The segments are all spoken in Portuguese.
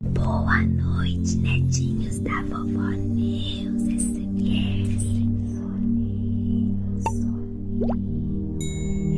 Boa noite, netinhos da vovó Neus SMR. Soninho, soninho,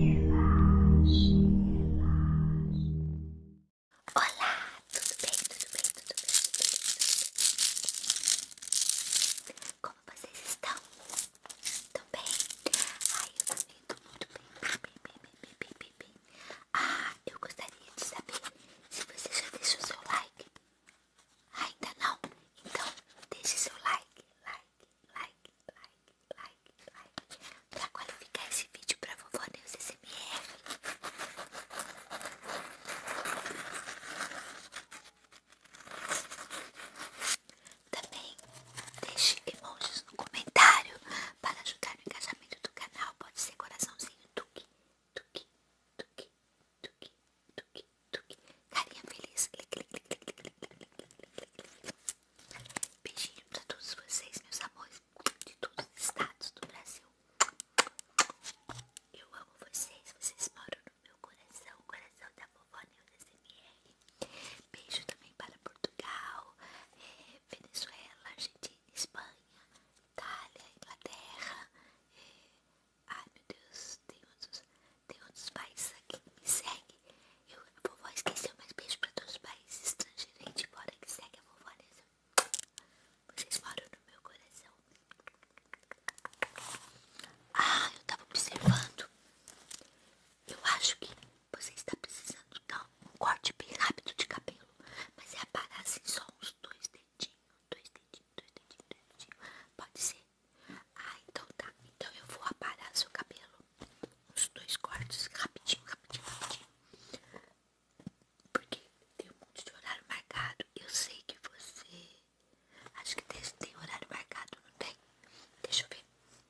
relaxe, relaxe. Olá, tudo bem, tudo bem, tudo bem, tudo bem? Como vocês estão? Estão bem? Ai, eu também estou muito bem, bem, bem, bem, bem, bem, bem, bem. Ah, eu gostaria de saber se você já deixou seu like. Ainda não? Então, deixe seu like, like, like, like, like, like, pra qualificar esse vídeo pra vovó Neus SMR. Também deixe emojis no comentário para ajudar no engajamento do canal pode ser coraçãozinho tuque, tuque, tuque, tuque, tuque, tuque. Carinha feliz. Beijinho pra todos vocês, meus amores, de todos os estados do Brasil. Eu amo vocês, vocês moram no meu coração, coração da vovó Nilda SMR. Beijo também para Portugal, Venezuela, Argentina. Espanha, Itália, Inglaterra. É... Ai meu Deus, tem outros, tem outros países aqui que me seguem. Eu, a vovó esqueceu, mas beijo pra todos os países estrangeiros aí de fora que segue a vovó Anessa. Vocês moram no meu coração. Ah, eu tava observando eu acho que você está precisando dar um corte bem rápido de cabelo. Mas é aparar assim só uns dois dedinhos, dois dedinhos, dois dedinhos, dois dedinhos. Pode ser? Ah, então tá. Então eu vou aparar seu cabelo. Uns dois cortes rapidinho, rapidinho, rapidinho. Porque tem um monte de horário marcado. Eu sei que você. Acho que tem horário marcado, não tem? Deixa eu ver.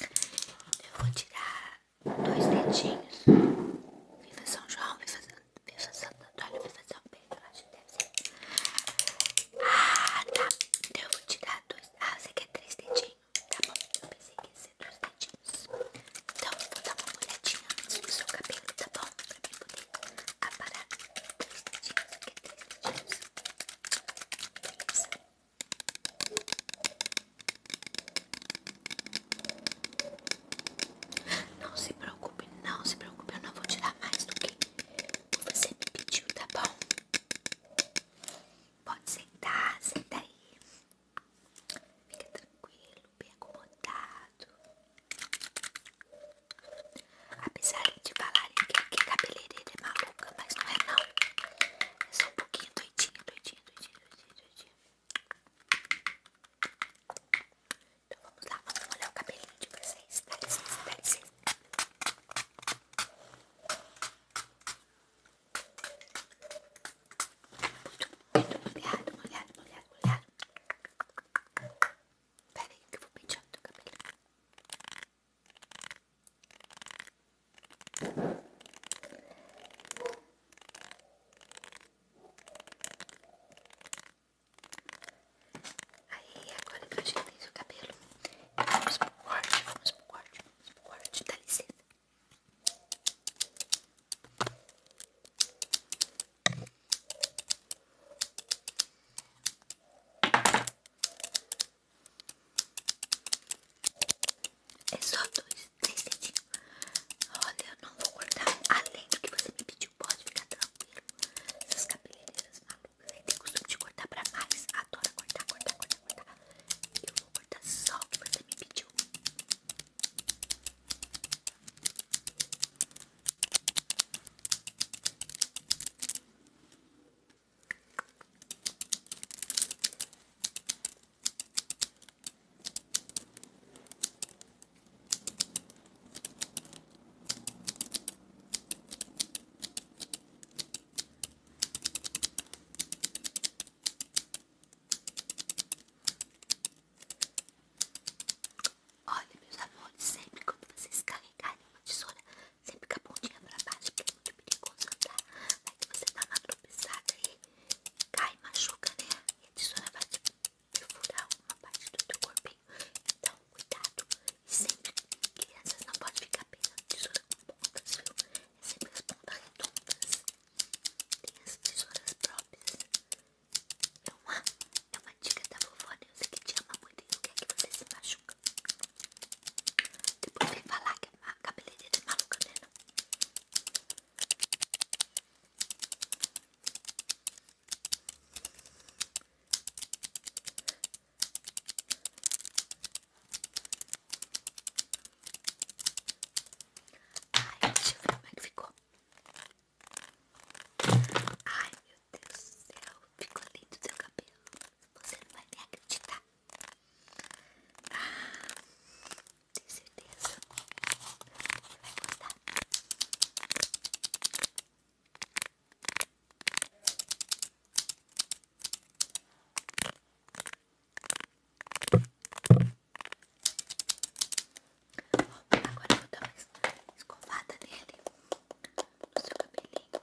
Eu vou tirar dois dedinhos. Viva São João, viva, viva Santo Antônio, viva São Pedro, acho que deve ser. Ah, tá. Então eu vou tirar dois. Ah, você quer três dedinhos? Tá bom, eu pensei que ia ser dois dedinhos. Então eu vou dar uma olhadinha antes do seu cabelo, tá bom? Pra mim poder aparar três dedinhos. Você quer três dedinhos? Beleza. Não se preocupe, não se preocupe, eu não vou te dar mais do que você me pediu, tá bom? Pode sentar, senta aí. Fica tranquilo, bem acomodado. Apesar de falarem que, que cabeleireira é maluca, mas não é não. É só um pouquinho doidinha, doidinha doidinho, doidinho, doidinho, doidinho. Então vamos lá, vamos molhar o cabelinho de vocês. Dá licença, dá licença. Muito, muito molhado, molhado, molhado, molhado. que vou pentear o cabelo. Aí, agora que eu ajeitei o cabelo, vamos pro corte, vamos pro corte, vamos pro corte, dá licença. É só dois, três dedinhos. Olha, eu não vou cortar além do que você me pediu. Pode ficar tranquilo. Essas cabeleireiras malucas têm costume de cortar pra mais. Adoro cortar, cortar, cortar, cortar. Eu vou cortar só o que você me pediu. Olha, meus amores, sempre quando vocês carregarem uma tesoura sempre com a pontinha pra baixo, porque é muito perigoso andar. Aí que você dá tá uma tropeçada e cai, machuca, né? E a tesoura vai te furar uma parte do teu corpinho. Então, cuidado. E sempre, crianças, não pode ficar pensando tesoura com pontas, viu? É sempre as pontas redondas. Tem as tesouras próprias. É uma, é uma dica da vovó Neuza que te ama muito e não quer é que você se machuque. Depois vem falar que a cabeleireira é maluca, né? Não? Ai, deixa eu ver como é que ficou. Ai, meu Deus do céu, ficou lindo o seu cabelo. Você não vai nem acreditar. Ah, tenho certeza que vai gostar. Agora eu vou dar uma escovada nele, no seu cabelinho.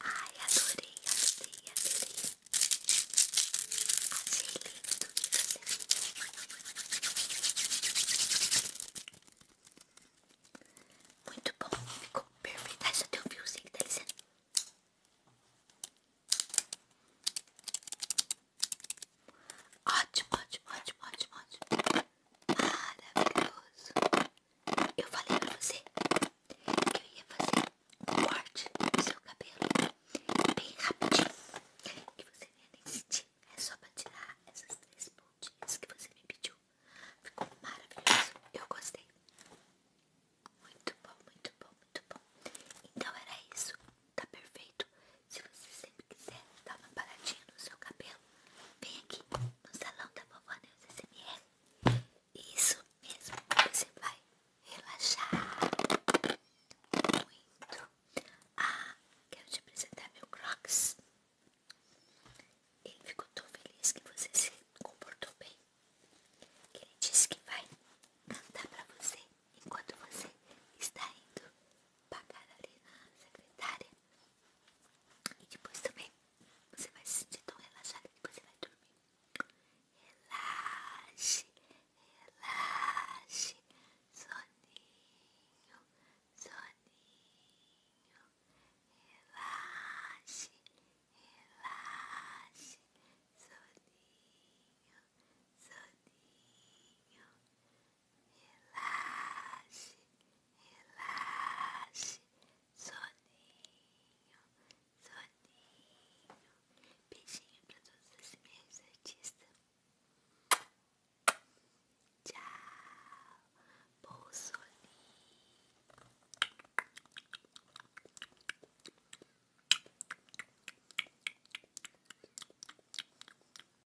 Ai, adorei, adorei, adorei. Achei lindo que Muito bom, ficou perfeito. Ai, só tem um que tá licença. ótimo, ótimo, ótimo, ótimo. Maravilhoso. Eu falei pra você que eu ia fazer um corte do seu cabelo bem rapidinho. Que você nem nem É só pra tirar essas três pontinhas que você me pediu. Ficou maravilhoso. Eu gostei. Muito bom, muito bom, muito bom. Então era isso. Tá perfeito. Se você sempre quiser dar uma paradinha no seu cabelo. Vem aqui no salão da vovó Neuza SMR. Isso mesmo, você vai relaxar muito. Ah, quero te apresentar meu Crocs. Ele ficou tão feliz que você se comportou bem. Que Ele disse que vai cantar pra você enquanto você está indo pagar ali na secretária. E depois também você vai se sentir tão relaxado que você vai dormir. Relaxe, relaxe, soninho, soninho, relaxe, relaxe, soninho, soninho, relaxe, relaxe, soninho, soninho. Beijinho pra todos os meus artistas. Tchau, bom soninho.